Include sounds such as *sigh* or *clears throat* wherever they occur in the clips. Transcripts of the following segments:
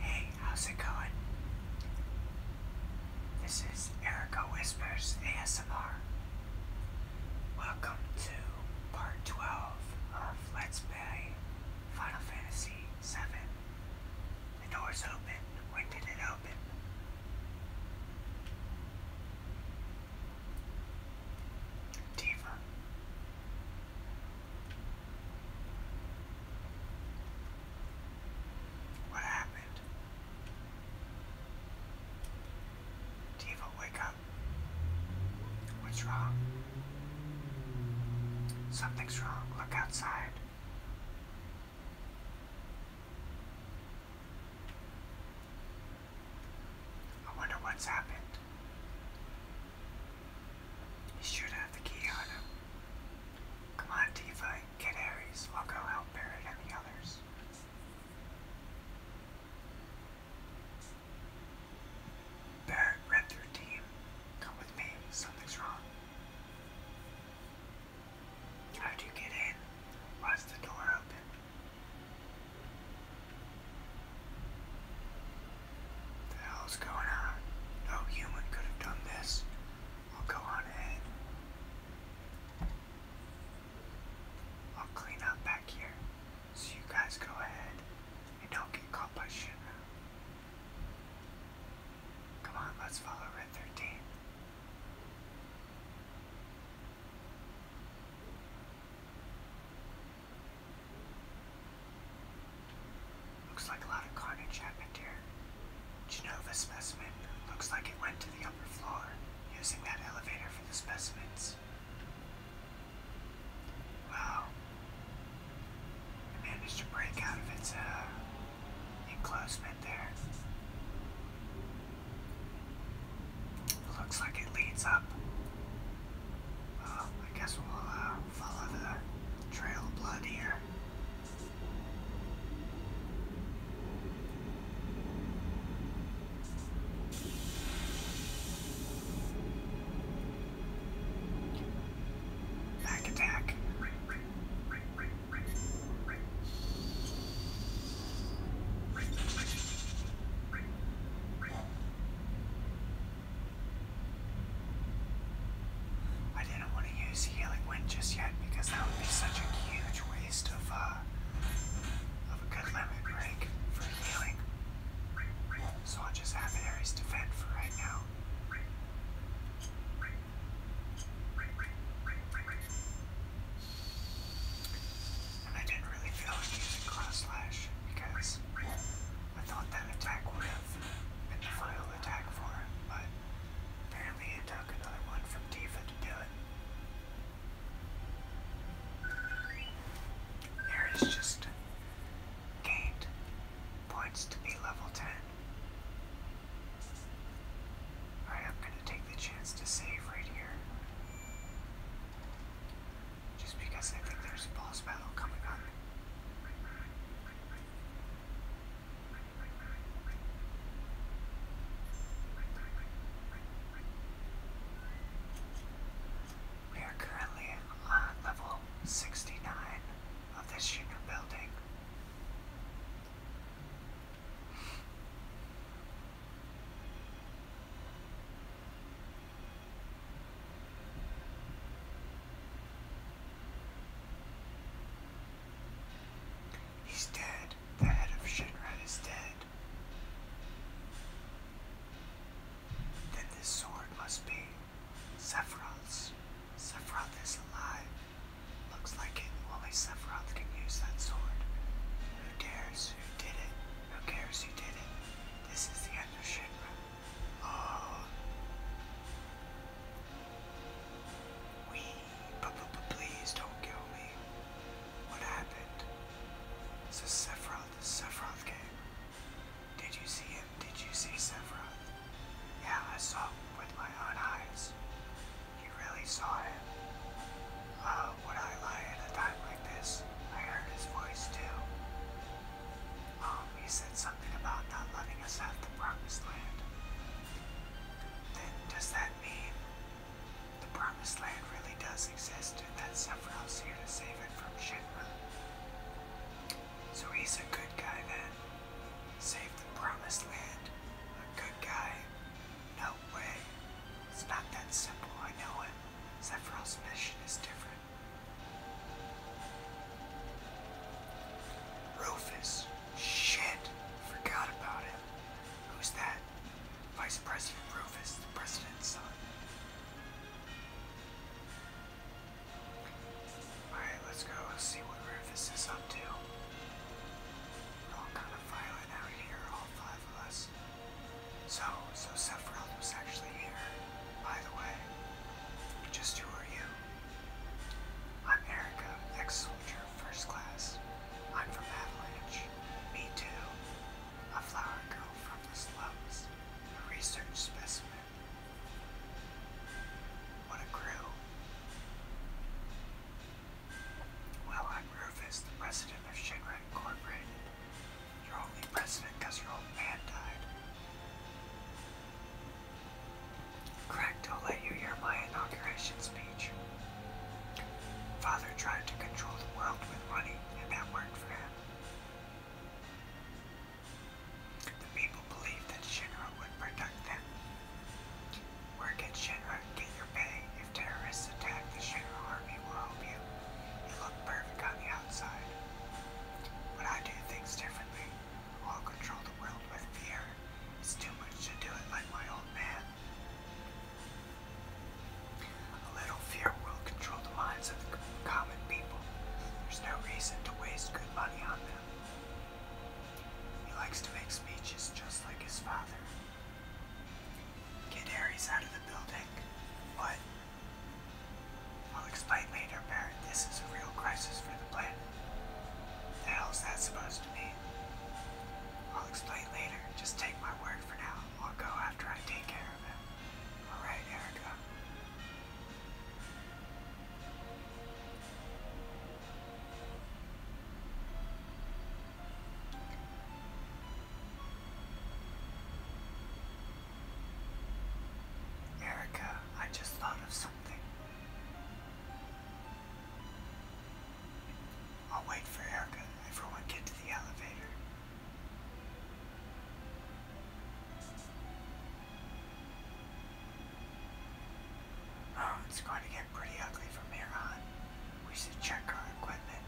Hey, how's it going? This is Erica Whispers ASMR. Welcome to part 12 of Let's Play Final Fantasy VII. The door's open. When did it open? Diva. What happened? Diva, wake up. What's wrong? Something's wrong. Look outside. I wonder what's happened. He should have the key on him. Come on, Tifa, get Ares. I'll go help Barret and the others. Barrett read team. Come with me, something's wrong. How'd you get in? Was the door open? What the hell's going on? No human could have done this. I'll go on ahead. I'll clean up back here. So you guys go ahead and don't get caught by shit. Come on, let's follow Red 13. Looks like a lot of carnage happened here. Genova specimen looks like it went to the upper floor, using that elevator for the specimens. Wow. managed to break out of its uh, there. looks like it leads up I guess we'll uh, follow the trail of blood here. Back attack. I didn't want to use Healing Wind just yet because that would be such a huge waste of, uh, of a good lemon break for healing. So I'll just have Ares defend for right now. And I didn't really feel like using Cross Slash because I thought that attack would have been the final attack for him, but apparently it took another one from Tifa to do it. Ares just gained points to be level 10. I'm gonna take the chance to save right here. Just because I think there's a boss battle coming up. We are currently on uh, level 69 of this unit building. He's dead. The head of Shinra is dead. Then this sword must be Sephiroth's. Sephiroth is alive. Looks like it. Only Sephiroth can use that sword. Who dares? Who did it? Who cares who did it? This is the end of Shinra. Uh, we, please don't kill me. What happened? It's a Sephiroth, the Sephiroth game. Did you see him? Did you see Sephiroth? Yeah, I saw him with my own eyes. You really saw him. Uh, would I lie at a time like this? I heard his voice too. Um, he said something about not letting us have the promised land. Then does that mean the promised land really does exist and that someone else here to save it from Shinra? So he's a good guy then. Save the promised land. A good guy. No way. It's not that simple, I know it. Sephiroth's mission is different. Rufus. Shit. Forgot about him. Who's that? Vice President Rufus, the president's son. Alright, let's go see what Rufus is up to. we all kind of violent out here, all five of us. So, so Sephiroth was actually here, by the way. Just who are you? I'm Erica, ex-soldier, first class. I'm from Avalanche. Me too. A flower girl from the slums. research specimen. What a crew. Well, I'm Rufus, the president of Shinra Incorporated. You're only president because your old man died. Correct, I'll let you hear my inauguration speech. Father tried to control the world with money, and that worked for him. The people believed that Shinra would protect them. Work at Shinra, get your pay. If terrorists attack, the Shinra army will help you. It looked perfect on the outside. When I do things differently, I'll control the world with fear. It's too much to do it like my old man. A little fear will control the minds of the common people. There's no reason to waste good money on them. He likes to make speeches just like his father. Get Ares out of the building. What? I'll explain later, Barrett. This is a real crisis for the planet. What the hell's that supposed to mean? I'll explain later. Just take my word for now. I'll go after I take care of it. Alright, Erica. Erica, I just thought of something. I'll wait for Erica everyone get to the elevator. Oh, it's going to get pretty ugly from here on. We should check our equipment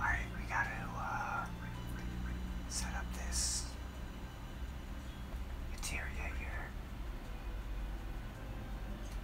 Alright, we gotta uh, set up this interior here.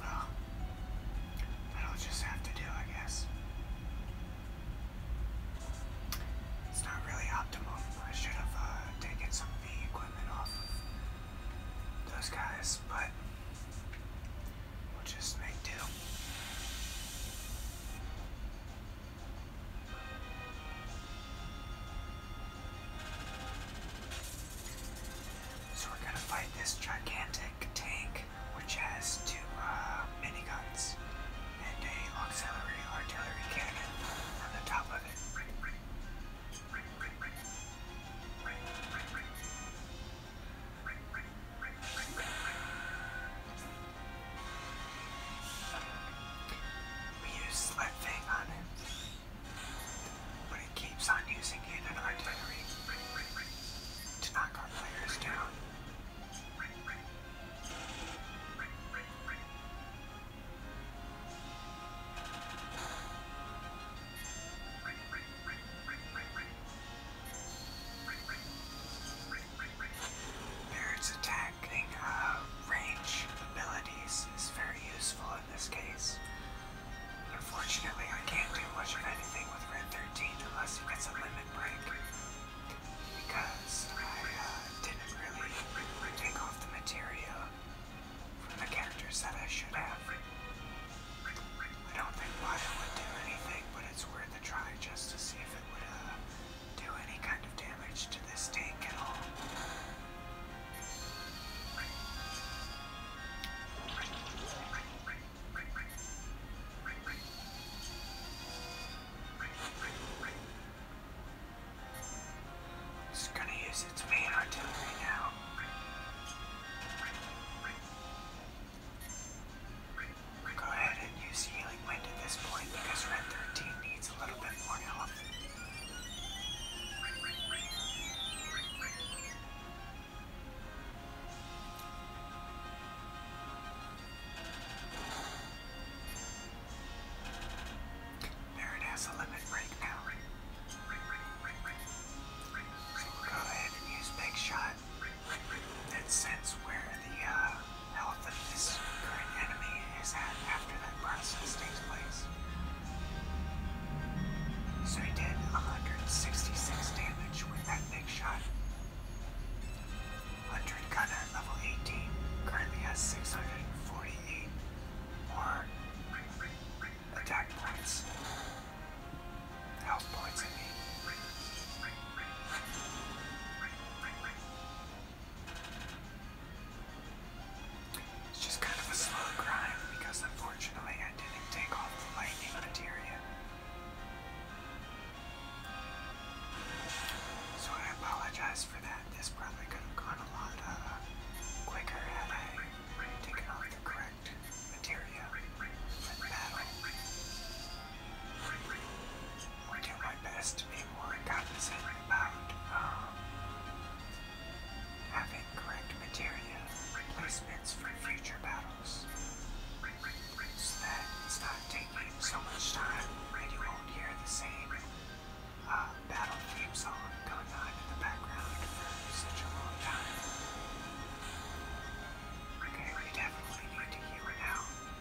Well, will just have to do, I guess. It's not really optimal. I should have uh, taken some of the equipment off those guys, but we'll just make do. So we're gonna fight this gigantic tank, which has two uh, miniguns and a auxiliary artillery cannon on the top of it. We use Slut on it, but it keeps on using it in artillery to knock our players down. *laughs* Barrett's attacking uh, range abilities is very useful in this case. Unfortunately, I can't do much of anything with Red 13 unless he gets a limit break. Because I uh, didn't really take off the material from the characters that I should have. I don't think Wada would do anything, but it's worth a try just to see if it would uh, do any kind of damage to this tank at all. It's gonna use its main artillery now. Go ahead and use Healing Wind at this point because Red 13 needs a little bit more health. There has a limit break now. So go ahead and use Big Shot that sense where the uh, health of this current enemy is at after that process takes place. So he did 166 damage with that big shot. 100 gunner level 18 currently has 648 more attack points. Health points in mean. It's just kind of a slow grind because unfortunately I didn't take off the lightning materia. So I apologize for that. This probably could have gone a lot uh, quicker had I taken off the correct materia and battle. I do my best to be more cognizant about um, having correct materia placements for future battles so not taking so much time and won't hear the same uh, battle theme song going on in the background for such a long time. Okay, we definitely need to hear it out. Go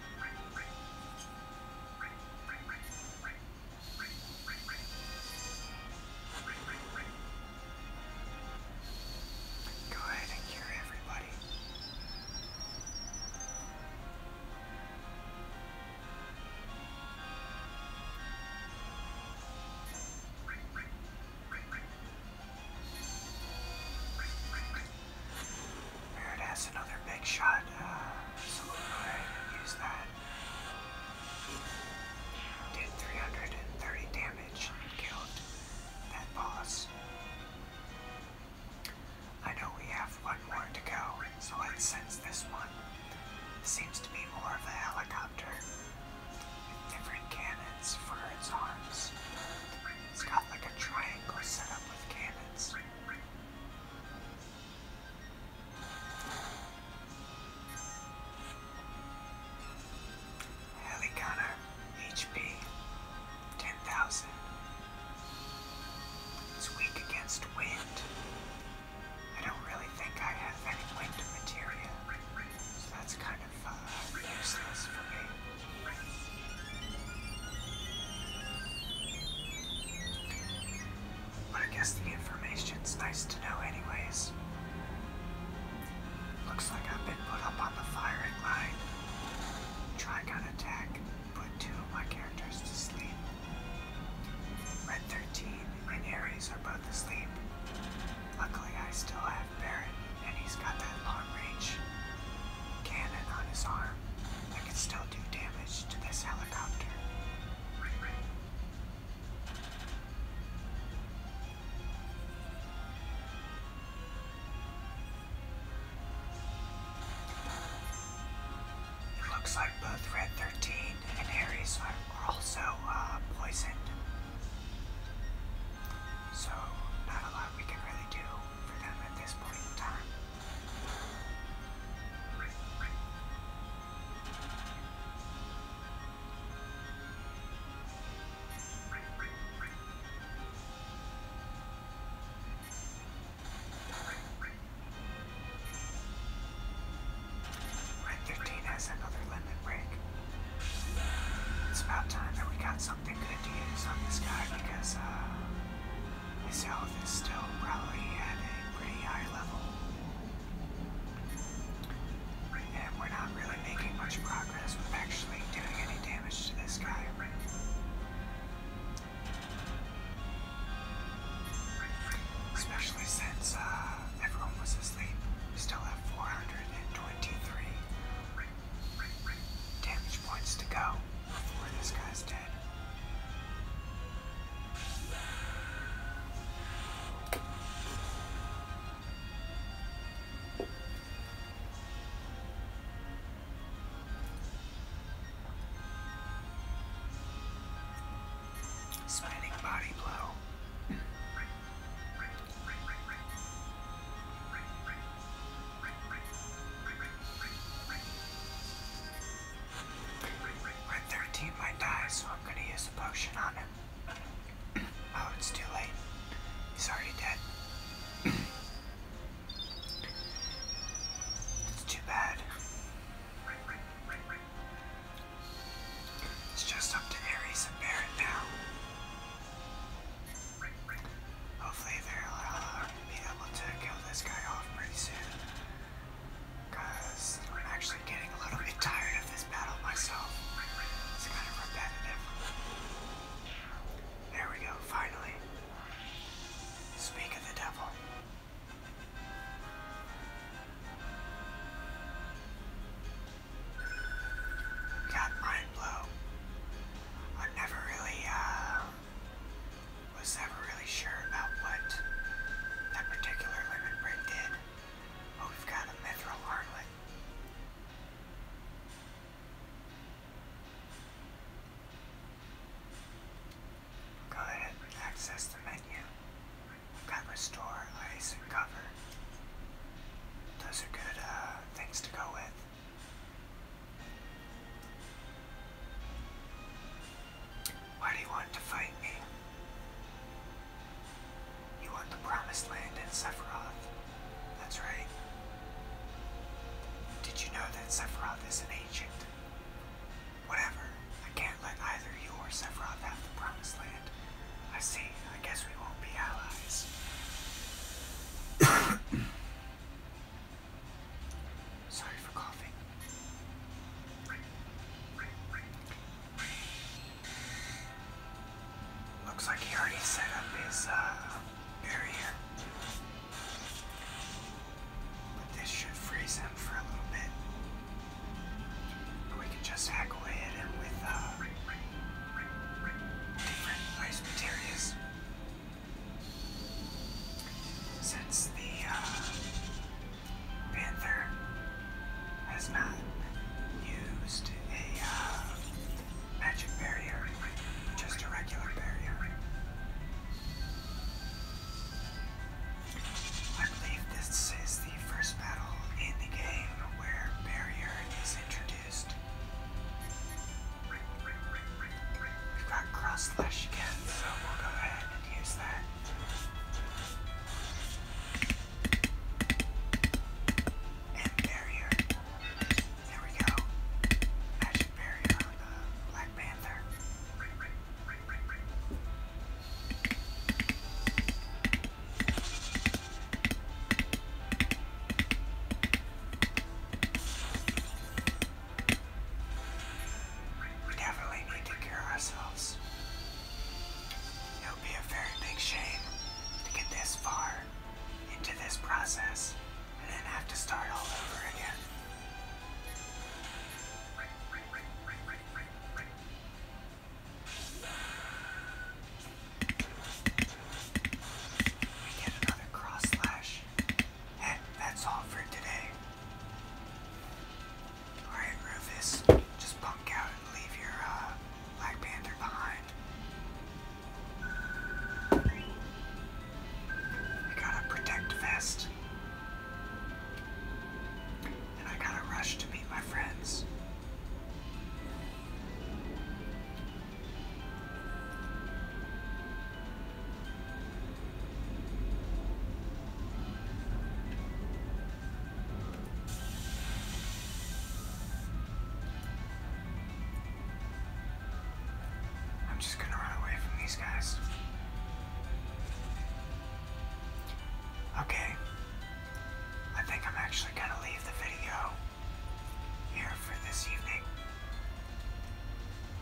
ahead and cure everybody. Barrett has another big shot, uh, so we'll go ahead and use that. Did 330 damage and killed that boss. I know we have one more to go, so let's sense this one. Seems to be more of a helicopter different cannons for its arms. It's got like a triangle set with HP 10,000. It's weak against wind. I don't really think I have any wind material, so that's kind of uh, useless for me. But I guess the information's nice to know, anyways. Looks like I've been put up on the firing line. Trigon attack, put two of my characters to sleep. Red 13 and Ares are both asleep. Luckily, I still have Barrett, and he's got that long reach cannon on his arm that can still do damage to this helicopter. It looks like both Red 13 and Ares are also uh, poisoned. So, not a lot we can really do Red 15 has another limit break. It's about time that we got something think good to use on this guy because his health uh, is still probably at a pretty high level. And we're not really making much progress with actually doing any damage to this guy. Especially since uh, everyone was asleep. still have 423. Damage points to go before this guy's dead. Spinning body blow. My third might die, so I'm gonna use a potion on him. *clears throat* oh, it's too late. He's already dead. *clears throat* it's too bad. It's just up to Ares and Barrett now. Hopefully they'll uh, be able to kill this guy off pretty soon. Because I'm actually getting a little bit tired of this battle myself. It's kind of repetitive. There we go, finally. Speak of the devil. Got mind blow. I never really uh, was never really sure about what that particular lemon did. Oh, we've got a mithril armlet. Go ahead and access the menu. We've got restore, ice, and cover. Those are good uh, things to go with. Why do you want to fight me? You want the promised land in Sephiroth. That's right. Did you know that Sephiroth is an ancient? Whatever. I can't let either you or Sephiroth have the promised land. I see. I guess we won't be allies. Sorry for coughing. Looks like he already set up his barrier. Uh, but this should freeze him for a little bit. we can just hack away at him with uh, different materials. Since the uh, Panther has not used a uh, magic barrier, just a regular barrier. I believe this is the first battle in the game where barrier is introduced confused. We've got cross slash again, so we'll go ahead and use that. And barrier. There we go. Magic barrier on the Black Panther. We definitely need to cure ourselves. It would be a very big shame to get this far into this process and then have to start all over again. Yet another cross slash. And that's all for today. Alright, Rufus, just bunk out and leave your uh, Black Panther behind. I got a protect vest. And I gotta rush to meet my friends. I'm just gonna run away from these guys. Okay. I think I'm actually gonna leave the video here for this evening.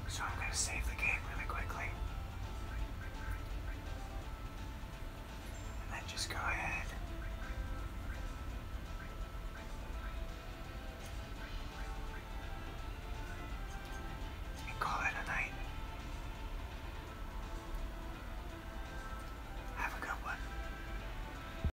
So I'm going to save the game really quickly. And then just go ahead. And call it a night. Have a good